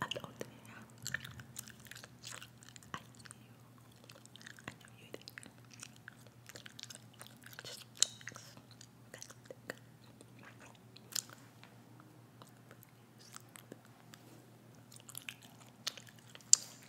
Hello there. I see you. I know you there. Just relax. Relax, relax. Relax.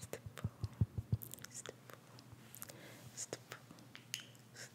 stipple, stipple, stipple, stipple. Relax.